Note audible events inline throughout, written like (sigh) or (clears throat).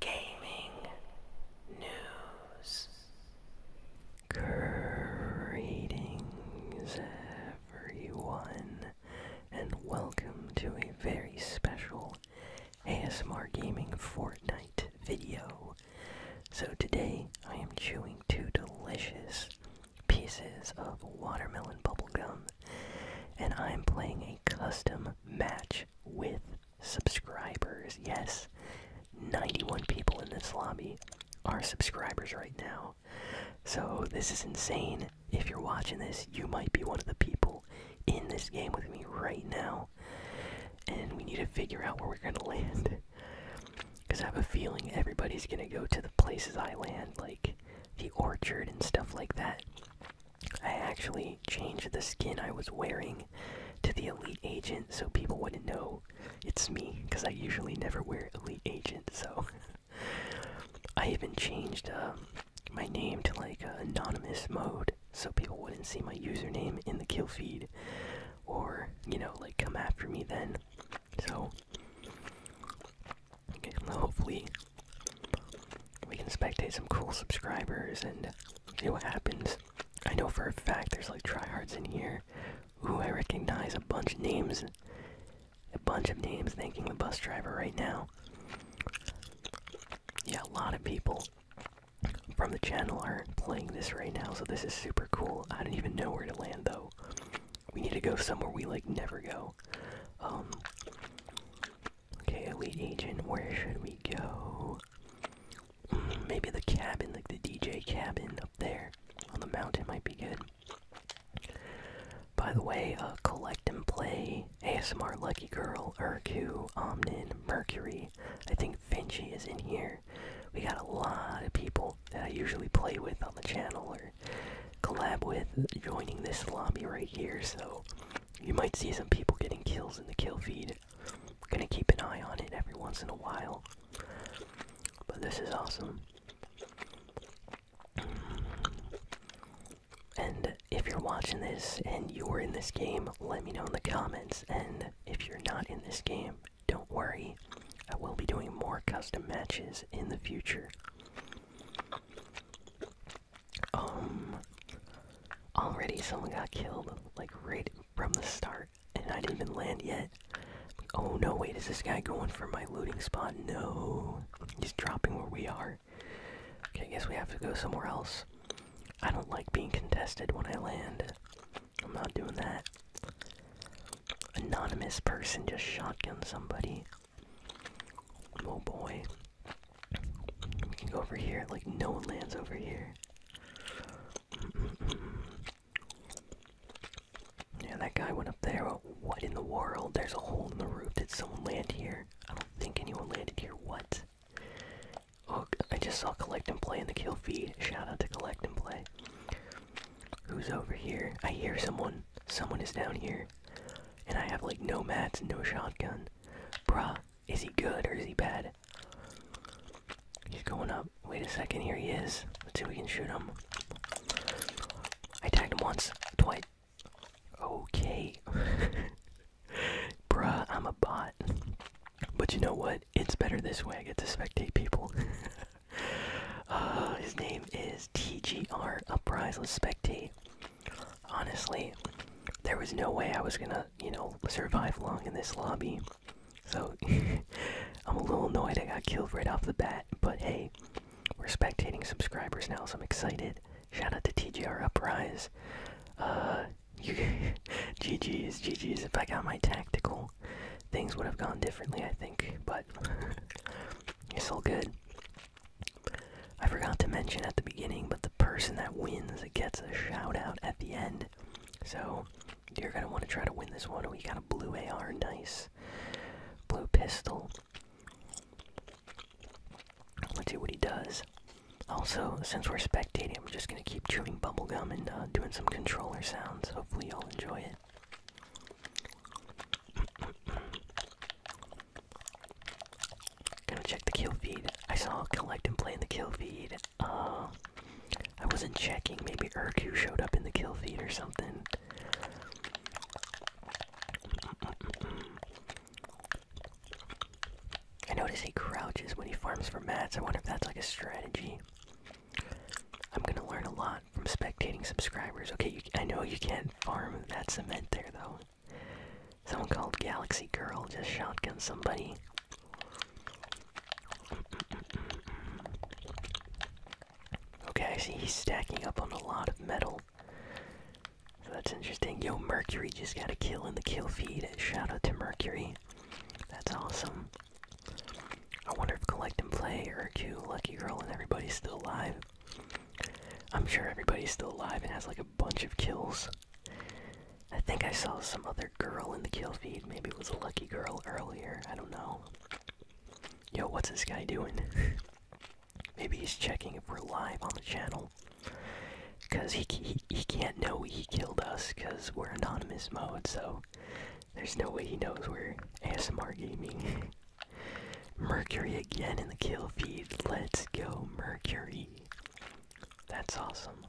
gaming news. everyone, and welcome to a very special ASMR Gaming Fortnite video. So, today I am chewing two delicious pieces of watermelon bubblegum, and I am playing a custom match with subscribers. Yes, 91 people in this lobby are subscribers right now. So, this is insane. If you're watching this, you might be one of the people in this game with me right now. And we need to figure out where we're going to land. Because I have a feeling everybody's going to go to the places I land, like the orchard and stuff like that. I actually changed the skin I was wearing to the Elite Agent so people wouldn't know it's me, because I usually never wear Elite Agent, so. (laughs) I even changed um, my name to like uh, anonymous mode so people wouldn't see my username in the kill feed or, you know, like come after me then. So, hopefully we can spectate some cool subscribers and see what happens. I know for a fact there's like tryhards in here Ooh, I recognize a bunch of names, a bunch of names thanking the bus driver right now. Yeah, a lot of people from the channel are playing this right now, so this is super cool. I don't even know where to land though. We need to go somewhere we like never go. Um, Okay, elite agent, where should we go? Mm, maybe the cabin, like the DJ cabin up there on the mountain might be good. By the way, uh, collect and play ASMR Lucky Girl, Urku, Omnin, Mercury. I think Vinci is in here. We got a lot of people that I usually play with on the channel or collab with joining this lobby right here, so you might see some people getting kills in the kill feed. Gonna keep an eye on it every once in a while. But this is awesome. And if you're watching this and you're in this game, let me know in the comments. And if you're not in this game, don't worry. I will be doing more custom matches in the future um already someone got killed like right from the start and I didn't even land yet. Oh no, wait, is this guy going for my looting spot? No. He's dropping where we are. Okay, I guess we have to go somewhere else. I don't like being contested when I land. I'm not doing that. Anonymous person just shotgun somebody. Oh boy. We can go over here. Like, no one lands over here. Yeah, that guy went up there. what in the world? There's a hole in the roof. Did someone land here? I don't think anyone landed here. What? Oh, I just saw Collect and Play in the kill feed. Shout out to Collect and Play. Who's over here? I hear someone. Someone is down here. And I have, like, no mats, no shotgun. Bruh, is he good or is he bad? He's going up. Wait a second, here he is. Let's see if we can shoot him. I tagged him once, twice. Okay. (laughs) Bruh, I'm a bot. But you know what? It's better this way. I get to spectate people. (laughs) Uh, his name is TGR Uprise. spectate honestly, there was no way I was gonna, you know, survive long in this lobby. So, (laughs) I'm a little annoyed I got killed right off the bat, but hey, we're spectating subscribers now, so I'm excited. Shout out to TGR Uprise. Uh, GG's, (laughs) GG's. If I got my tactical, things would have gone differently, I think, but (laughs) it's all good. I forgot to mention at the beginning, but the person that wins gets a shout out at the end. So you're gonna want to try to win this one. We got a blue AR, nice. Blue pistol. Let's see what he does. Also, since we're spectating, I'm just gonna keep chewing gum and uh, doing some controller sounds. Hopefully, y'all enjoy it. Gonna check the kill feed. I saw Collectin play in the kill feed. Uh, I wasn't checking. Maybe Urku showed up in the kill feed or something. I notice he crouches when he farms for mats. I wonder if that's like a strategy. I'm gonna learn a lot from spectating subscribers. Okay, I know you can't farm that cement there though. Someone called Galaxy Girl just shotgun somebody. Okay, I see he's stacking up on a lot of metal. So that's interesting. Yo, Mercury just got a kill in the kill feed. Shout out to Mercury. That's awesome. I wonder if Collect and Play, Urku, Lucky Girl, and everybody's still alive. I'm sure everybody's still alive and has like a bunch of kills. I think I saw some other girl in the kill feed. Maybe it was a lucky girl earlier. I don't know. Yo, what's this guy doing? (laughs) Maybe he's checking if we're live on the channel. Because he, he, he can't know he killed us because we're anonymous mode, so there's no way he knows we're ASMR gaming. (laughs) Mercury again in the kill feed. Let's go, Mercury. That's awesome.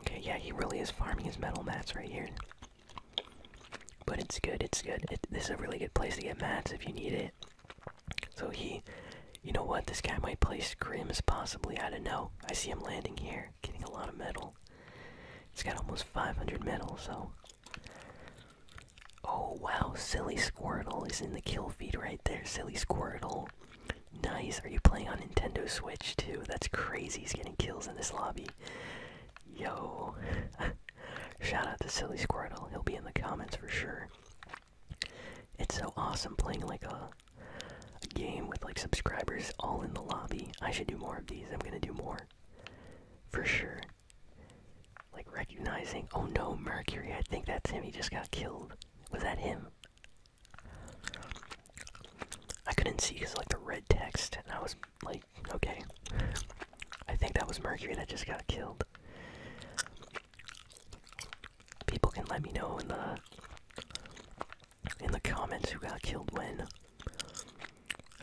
Okay, yeah, he really is farming his metal mats right here. But it's good, it's good. this is a really good place to get mats if you need it. So he, you know what, this guy might play scrims possibly, I don't know. I see him landing here, getting a lot of metal. He's got almost 500 metal, so Oh wow, Silly Squirtle is in the kill feed right there. Silly Squirtle. Nice. Are you playing on Nintendo Switch too? That's crazy. He's getting kills in this lobby. Yo. (laughs) Shout out to Silly Squirtle. He'll be in the comments for sure. It's so awesome playing like a, a game with like subscribers all in the lobby. I should do more of these. I'm gonna do more. For sure. Like recognizing, oh no, Mercury, I think that's him, he just got killed. Was that him? I couldn't see because like the red text, and I was like, okay. I think that was Mercury that just got killed. People can let me know in the in the comments who got killed when.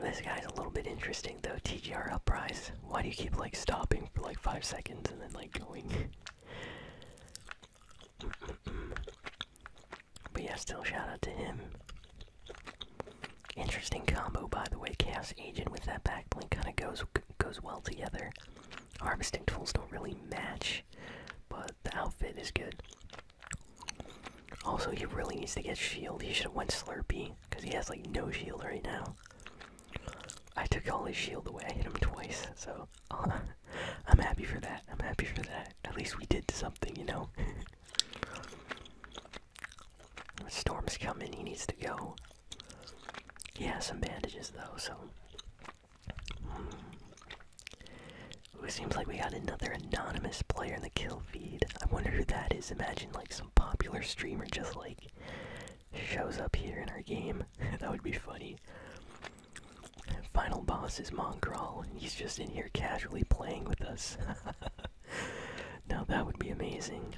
This guy's a little bit interesting though. TGR uprise. Why do you keep like stopping for like five seconds and then like going? (clears throat) but yeah, still shout out to him. Interesting combo, by the way. Cast Agent with that backblink kind of goes goes well together. Harvesting tools don't really match, but the outfit is good. Also, he really needs to get shield. He should have went Slurpee. Because he has like no shield right now. I took all his shield away. I hit him twice, so (laughs) I'm happy for that. I'm happy for that. At least we did something, you know? (laughs) Storm's coming. He needs to go. He has some bandages, though, so. Hmm. It seems like we got another anonymous player in the kill I wonder who that is. Imagine like some popular streamer just like shows up here in our game. (laughs) that would be funny. Final boss is Mongrel, and he's just in here casually playing with us. (laughs) now that would be amazing.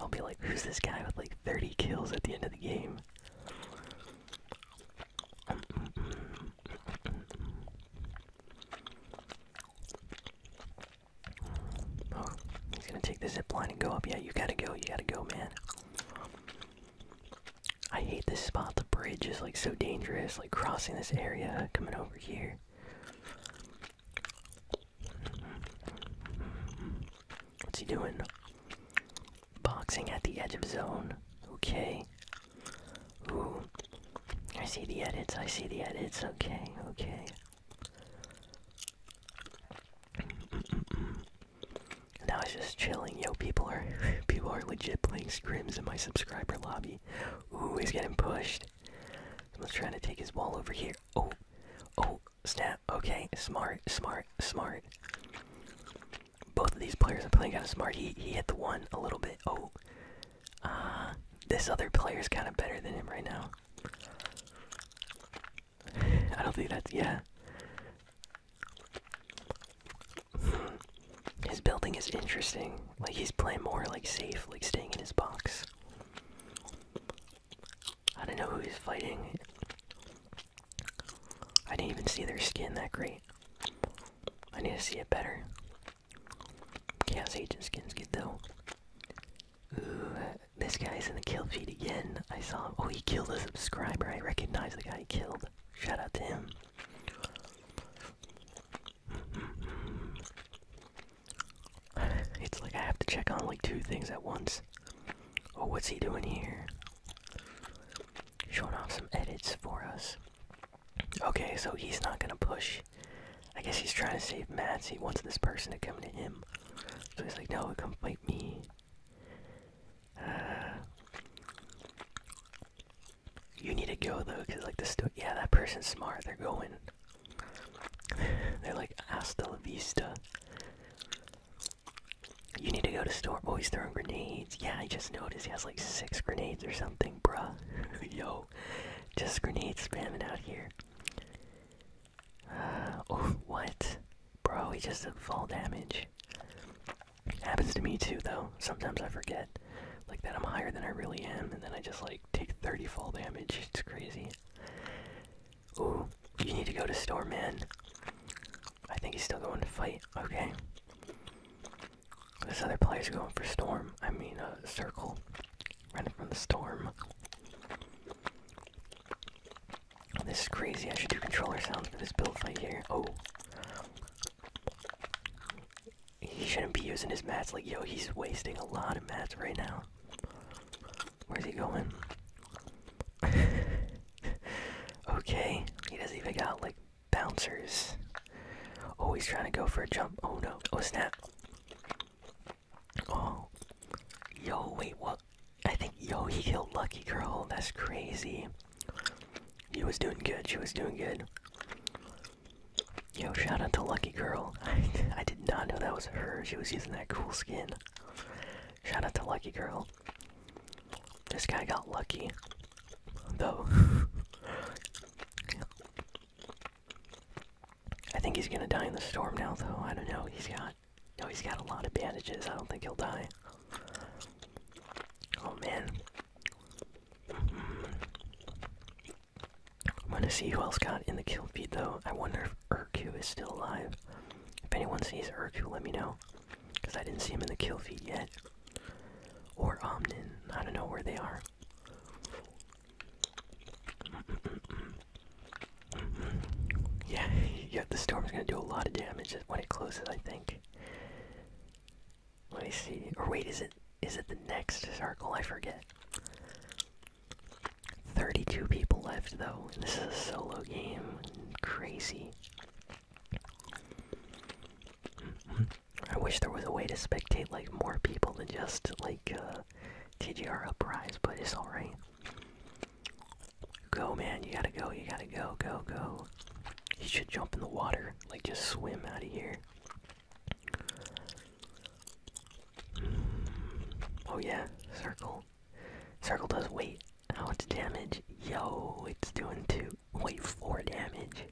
I'll be like, who's this guy with like 30 kills at the end of the game? Oh, he's gonna take the zip line and go up. Yeah, you gotta go. You gotta go, man. I hate this spot. The bridge is like so dangerous. Like crossing this area, coming over here. What's he doing? Boxing at the edge of zone. Okay. Ooh. I see the edits. I see the edits. Okay. Okay. Now he's just chilling. Yo, people are (sighs) people are legit playing scrims in my subscriber lobby. Ooh, he's getting pushed. Someone's trying to take his wall over here. Oh, oh, snap. Okay, smart, smart, smart. Both of these players are playing kind of smart. He he hit the one a little bit. Oh, uh, this other player is kind of better than him right now. I don't think that's yeah. His building is interesting. Like he's playing more like safe, like staying in his box. I don't know who he's fighting. I didn't even see their skin that great. I need to see it better. Chaos Agent skin's good though. Ooh, this guy's in the kill feed again. I saw him. Oh, he killed a subscriber. I recognize the guy he killed. Shout out to him. It's like I have to check on like two things at once. Oh, what's he doing here? Showing off some edits for us. Okay, so he's not gonna push. I guess he's trying to save Mats. He wants this person to come to him. So he's like, no, come fight me. Uh, you need to go though, cause like the store. Yeah, that person's smart. They're going. (laughs) They're like "Asta la vista. You need to go to store. Oh, throwing grenades. Yeah, I just noticed he has like six grenades or something, bruh. (laughs) Yo. (sighs) Just grenade spamming out here. (sighs) oh, what? Bro, he just did fall damage. Happens to me too, though. Sometimes I forget, like, that I'm higher than I really am, and then I just, like, take 30 fall damage. It's crazy. Ooh, you need to go to storm, man. I think he's still going to fight. Okay. This other player's going for storm. I mean, a circle. Running from the storm. This is crazy. I should do controller sounds for this build right here. Oh. He shouldn't be using his mats. Like, yo, he's wasting a lot of mats right now. Where's he going? (laughs) okay. He doesn't even got, like, bouncers. Oh, he's trying to go for a jump. Oh no. Oh, snap. Oh. Yo, wait, what? I think, yo, he killed Lucky Girl. That's crazy. She was doing good. She was doing good. Yo, shout out to Lucky Girl. (laughs) I did not know that was her. She was using that cool skin. Shout out to Lucky Girl. This guy got lucky. Though. (laughs) I think he's gonna die in the storm now, though. I don't know. He's got. No, he's got a lot of bandages. I don't think he'll die. Oh man. I'm gonna see who else got in the kill feed, though. I wonder if Urku is still alive. If anyone sees Urku, let me know. Because I didn't see him in the kill feed yet. Or Omnin. I don't know where they are. (laughs) yeah, yeah, the is gonna do a lot of damage when it closes, I think. Let me see. Or wait, is it is it the next circle? I forget. 32 people left though. This is a solo game. Crazy. I wish there was a way to spectate like more people than just like uh, TGR Uprise, but it's alright. Go, man, you gotta go, you gotta go, go, go. You should jump in the water, like just swim out of here. Hmm. Oh, yeah, circle. Circle does weight. How much damage? Yo, it's doing two. Wait, four damage.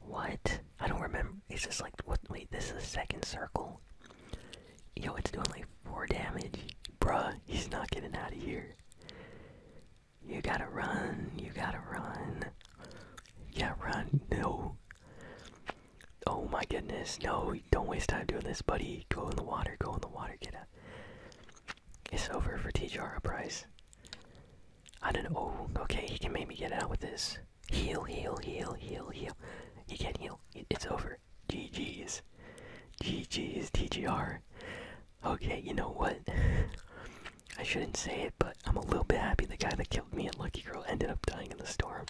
What? I don't remember. It's just like what? Wait, this is the second circle. Yo, it's doing like four damage, bruh. He's not getting out of here. You gotta run. You gotta run. Yeah, run. No. Oh my goodness. No, don't waste time doing this, buddy. Go in the water. Go in the water. Get out. It's over for T. Jara Price. I don't know. okay, he can maybe get out with this. Heal, heal, heal, heal, heal. He can't heal. It's over. GG's. GG's, TGR. Okay, you know what? (laughs) I shouldn't say it, but I'm a little bit happy the guy that killed me at Lucky Girl ended up dying in the storm.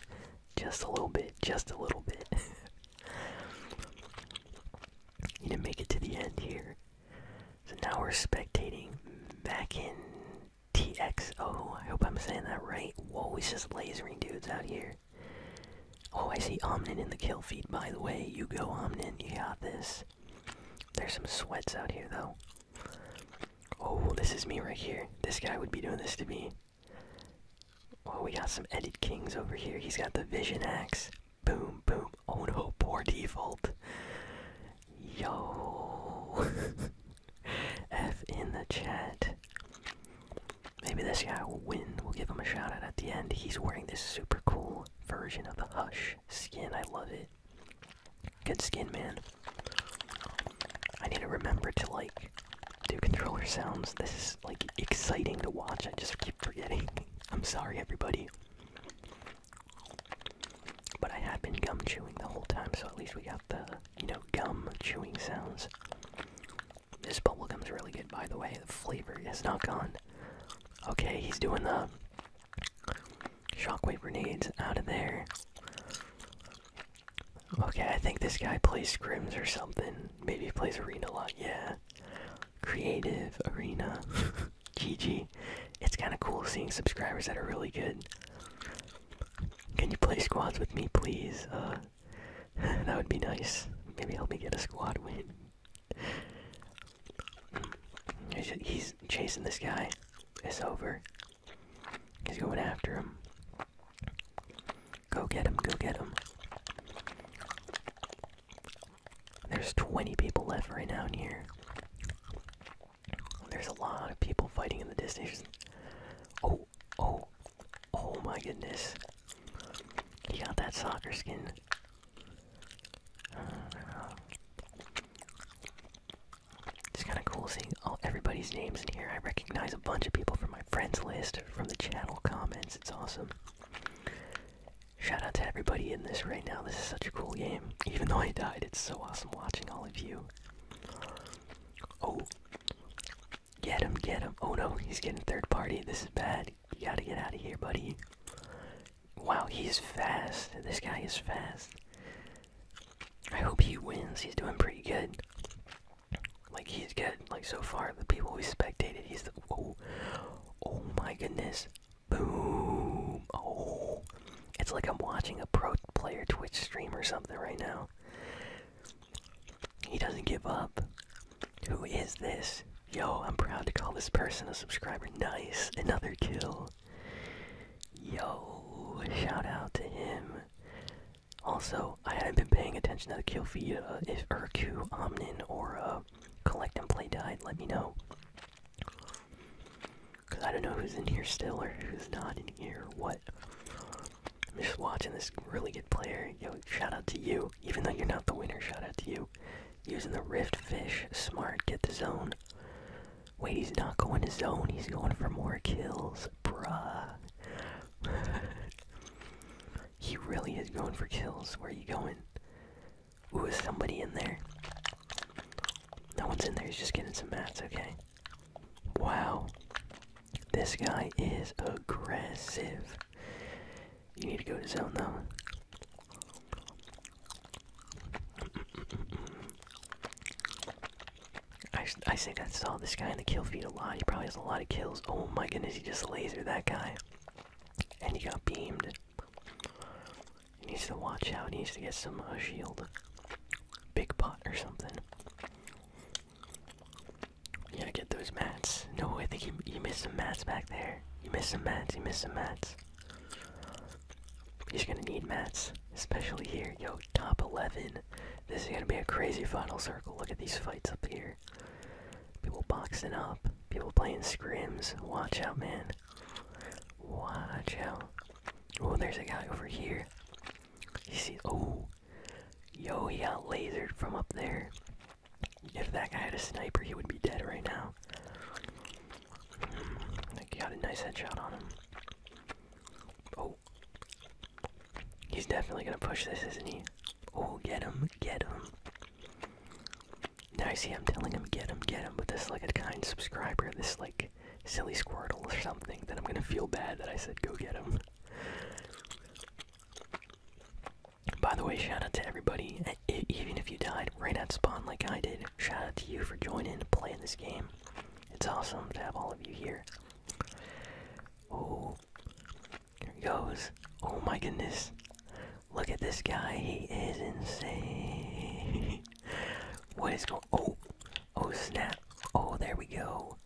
Just a little bit, just a little bit. (laughs) he didn't make it to the end here. So now we're spectating back Mackin TXO. I hope I'm saying that right. Whoa, he's just lasering dudes out here. Oh, I see Omnin in the kill feed, by the way. You go, Omnin. You got this. There's some sweats out here, though. Oh, this is me right here. This guy would be doing this to me. Oh, we got some Edit Kings over here. He's got the Vision Axe. Boom, boom. Oh no, poor default. Yo! (laughs) F in the chat. Maybe this guy will win. We'll give him a shout out at the end. He's wearing this super cool version of the Hush skin. I love it. Good skin, man. I need to remember to, like, do controller sounds. This is, like, exciting to watch. I just keep forgetting. (laughs) I'm sorry, everybody. But I have been gum chewing the whole time, so at least we got the, you know, gum chewing sounds. This bubble gum is really good, by the way. The flavor is not gone. Okay, he's doing the shockwave grenades out of there. Okay, I think this guy plays scrims or something. Maybe he plays arena a lot, yeah. Creative arena. (laughs) GG. It's kind of cool seeing subscribers that are really good. Can you play squads with me, please? Uh, (laughs) that would be nice. Maybe help me get a squad win. He's chasing this guy. It's over. He's going after him. Go get him, go get him. There's 20 people left right now in here. There's a lot of people fighting in the distance. Oh, oh, oh my goodness. He got that soccer skin. it's kind of cool seeing all everybody's names in here. I recognize a bunch of people from my friends list, from the channel comments. It's awesome. Shout out to everybody in this right now. This is such a cool game. Even though I died, it's so awesome watching all of you. Oh. Get him, get him. Oh no, he's getting third party. This is bad. You gotta get out of here, buddy. Wow, he's fast. This guy is fast. I hope he wins. He's doing pretty good. Like, he's good. Like, so far, the people we spectated, he's the. Oh, oh my goodness. Boom! Oh, it's like I'm watching a pro player Twitch stream or something right now. He doesn't give up. Who is this? Yo, I'm proud to call this person a subscriber. Nice, another kill. Yo, shout out to him. Also, I haven't been paying attention to the kill feed. Uh, if Urku, Omnin, or uh, Collect and Play died, let me know. Because I don't know who's in here still or who's not in here or what. I'm just watching this really good player. Yo, shout out to you. Even though you're not the winner, shout out to you. Using the Rift Fish. Smart. Get the zone. Wait, he's not going to zone. He's going for more kills. Bruh. (laughs) he really is going for kills. Where are you going? Ooh, is somebody in there? No one's in there, he's just getting some mats, okay. Wow. This guy is aggressive. You need to go to zone though. I, I think I saw this guy in the kill feed a lot. He probably has a lot of kills. Oh my goodness, he just lasered that guy. And he got beamed. He needs to watch out. He needs to get some uh, shield. Big pot or something. You gotta get those mats. No, way, think he, he missed some mats back there. He missed some mats. He missed some mats. He's gonna need mats, especially here. Yo, top 11. This is gonna be a crazy final circle. Look at these fights up here. People boxing up. People playing scrims. Watch out, man. Watch out. Oh, there's a guy over here. You see, oh, yo, he got lasered from up there. If that guy had a sniper, he would be dead right now. he got a nice headshot on him. Oh, he's definitely gonna push this, isn't he? Oh, get him, get him. Now I see I'm telling him get him, get him, but this like a kind subscriber, this like silly Squirtle or something, that I'm gonna feel bad that I said go get him. By the way, shout out to everybody, even if you died right at spawn like I did, shout out to you for joining and playing this game. It's awesome to have all of you here. Oh, here goes. Oh my goodness. Look at this guy. He is insane. (laughs) what is going? Oh, oh snap! Oh, there we go.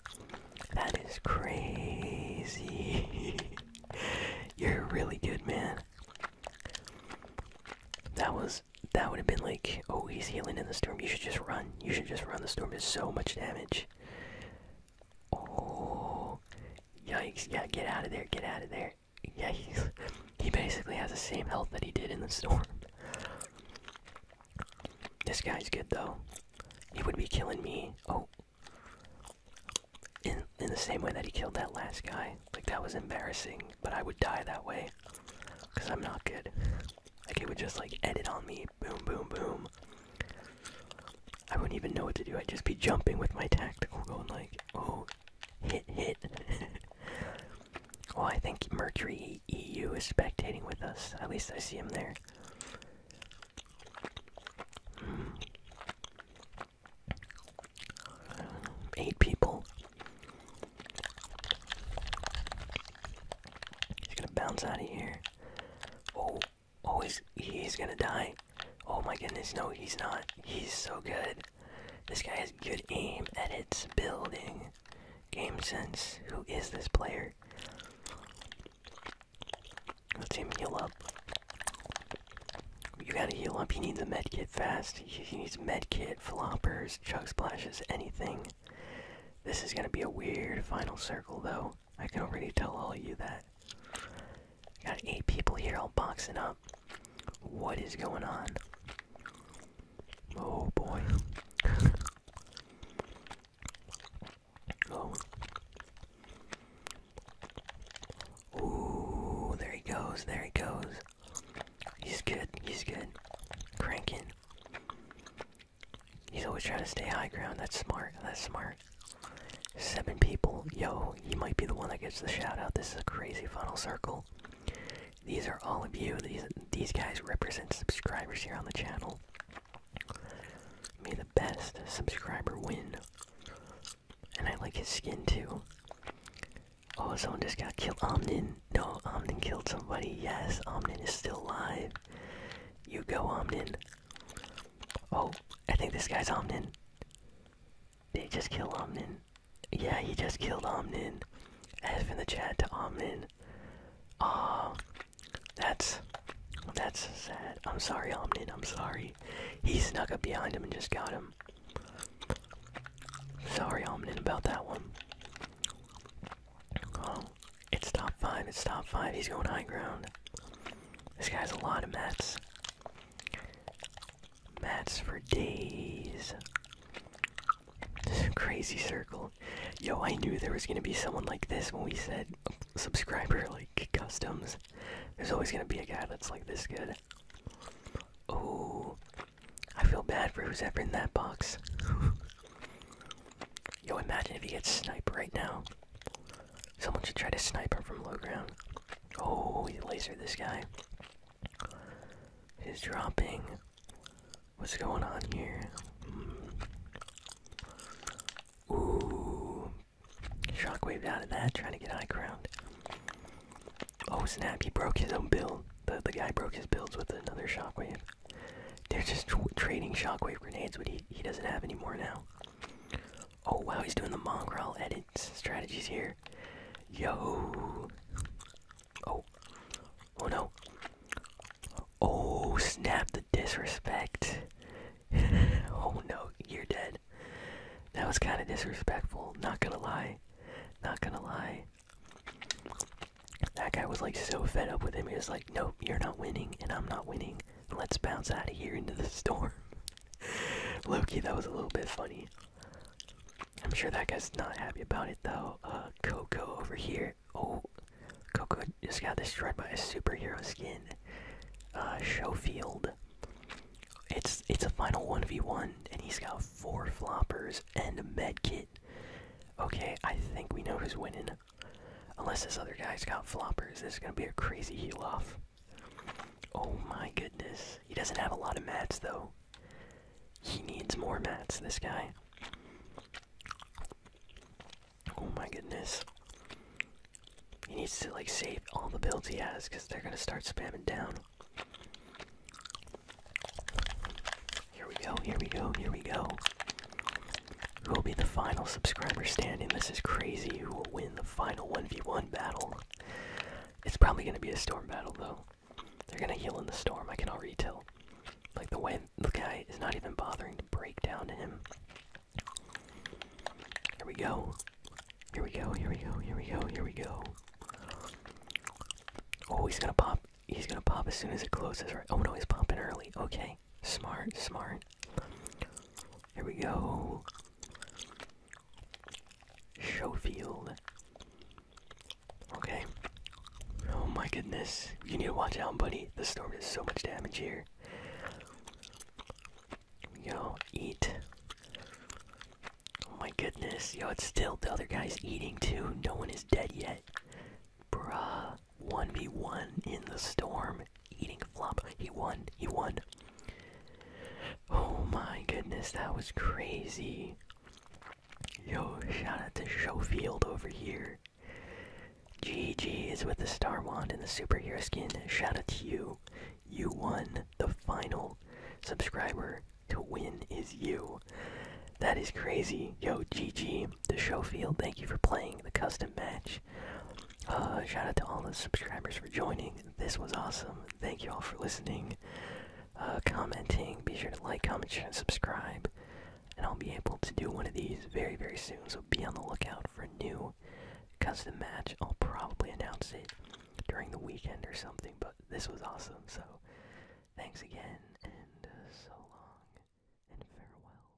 That is crazy. (laughs) You're really good, man. That was that would have been like, oh, he's healing in the storm. You should just run. You should just run. The storm does so much damage. Oh, yikes! Yeah, get out of there. Get out of there yeah, he's he basically has the same health that he did in the storm. This guy's good though. He would be killing me. Oh, in in the same way that he killed that last guy. Like that was embarrassing, but I would die that way, cause I'm not good. Like he would just like edit on me. Boom, boom, boom. I wouldn't even know what to do. I'd just be jumping with my tactical, going like, oh, Hit, hit. well, oh, I think Mercury EU is spectating with us. At least I see him there. Hmm. eight people. He's gonna bounce out of here. Oh, oh, he's, he's gonna die. Oh my goodness, no, he's not. He's so good. This guy has good aim, edits, building, game sense. Who is this player? Let's see him heal up. You gotta heal up. You need the med kit fast. You he needs med kit, floppers, chug splashes, anything. This is gonna be a weird final circle, though. I can already tell all you that. Got eight people here all boxing up. What is going on? Oh boy. oh. there he goes, there he goes. He's good, he's good. Cranking. He's always trying to stay high ground. That's smart, that's smart. Seven people. Yo, you might be the one that gets the shout out. This is a crazy funnel circle. These are all of you. These these guys represent subscribers here on the channel. May the best subscriber win. And I like his skin too. Oh, someone just got killed. Omnin. No, Omnin killed somebody. Yes, Omnin is still alive. You go, Omnin. Oh, I think this guy's Omnin. They just killed Omnin? Yeah, he just killed Omnin. F in the chat to Omnin. Ah, that's that's sad. I'm sorry, Omnin. I'm sorry. He snuck up behind him and just got him. Sorry, Omnin, about that one. Oh, it's top five. It's top five. He's going high ground. This guy's a lot of mats. That's for days. This crazy circle. Yo, I knew there was gonna be someone like this when we said subscriber like customs. There's always gonna be a guy that's like this good. Oh, I feel bad for who's ever in that box. (laughs) Yo, imagine if he gets snipe right now. Someone should try to snipe her from low ground. Oh, he lasered this guy. He's dropping. What's going on here? Mm. Ooh. Shockwave out of that, trying to get high ground. Oh snap, he broke his own build. The, the guy broke his builds with another shockwave. They're just trading shockwave grenades, but he, he doesn't have any more now. Oh wow, he's doing the mongrel edit strategies here. Yo. Oh. Oh no. Oh snap the disrespect. (laughs) oh no, you're dead. That was kind of disrespectful, not gonna lie. Not gonna lie. That guy was like so fed up with him. He was like, nope, you're not winning, and I'm not winning. Let's bounce out of here into the storm. (laughs) Loki, that was a little bit funny. I'm sure that guy's not happy about it though. Uh, Coco over here. Oh, Coco just got destroyed by a superhero skin. Uh, Showfield. It's it's a final one v one, and he's got four floppers and a med kit. Okay, I think we know who's winning. Unless this other guy's got floppers, this is gonna be a crazy heel off. Oh my goodness. He doesn't have a lot of mats though. He needs more mats, this guy. Oh my goodness. He needs to like save all the builds he has because they're gonna start spamming down. Here we go, here we go, here we go. Who will be the final subscriber standing? This is crazy. Who will win the final 1v1 battle? It's probably going to be a storm battle, though. They're going to heal in the storm. I can already tell. Like, the way the guy is not even bothering to break down to him. Here we go. Here we go, here we go, here we go, here we go. Oh, he's gonna pop. He's gonna pop as soon as it closes, Oh no, he's popping early. Okay. Smart, smart. Here we go. Schofield. Okay. Oh my goodness. You need to watch out, buddy. The storm does so much damage here. Yo, eat. Oh my goodness. Yo, it's still the other guy's eating too. No one is dead yet. Bruh. 1v1 in the storm eating flop. He won. He won. Oh my goodness, that was crazy. Yo, shout out to Showfield over here. GG is with the Star Wand and the superhero skin. Shout out to you. You won the final subscriber to win is you. That is crazy. Yo, GG, the Showfield, thank you for playing the custom match much. shout out to all the subscribers for joining. This was awesome. Thank you all for listening, uh, commenting. Be sure to like, comment, share, and subscribe. And I'll be able to do one of these very, very soon. So be on the lookout for a new custom match. I'll probably announce it during the weekend or something. But this was awesome. So thanks again, and uh, so long and farewell.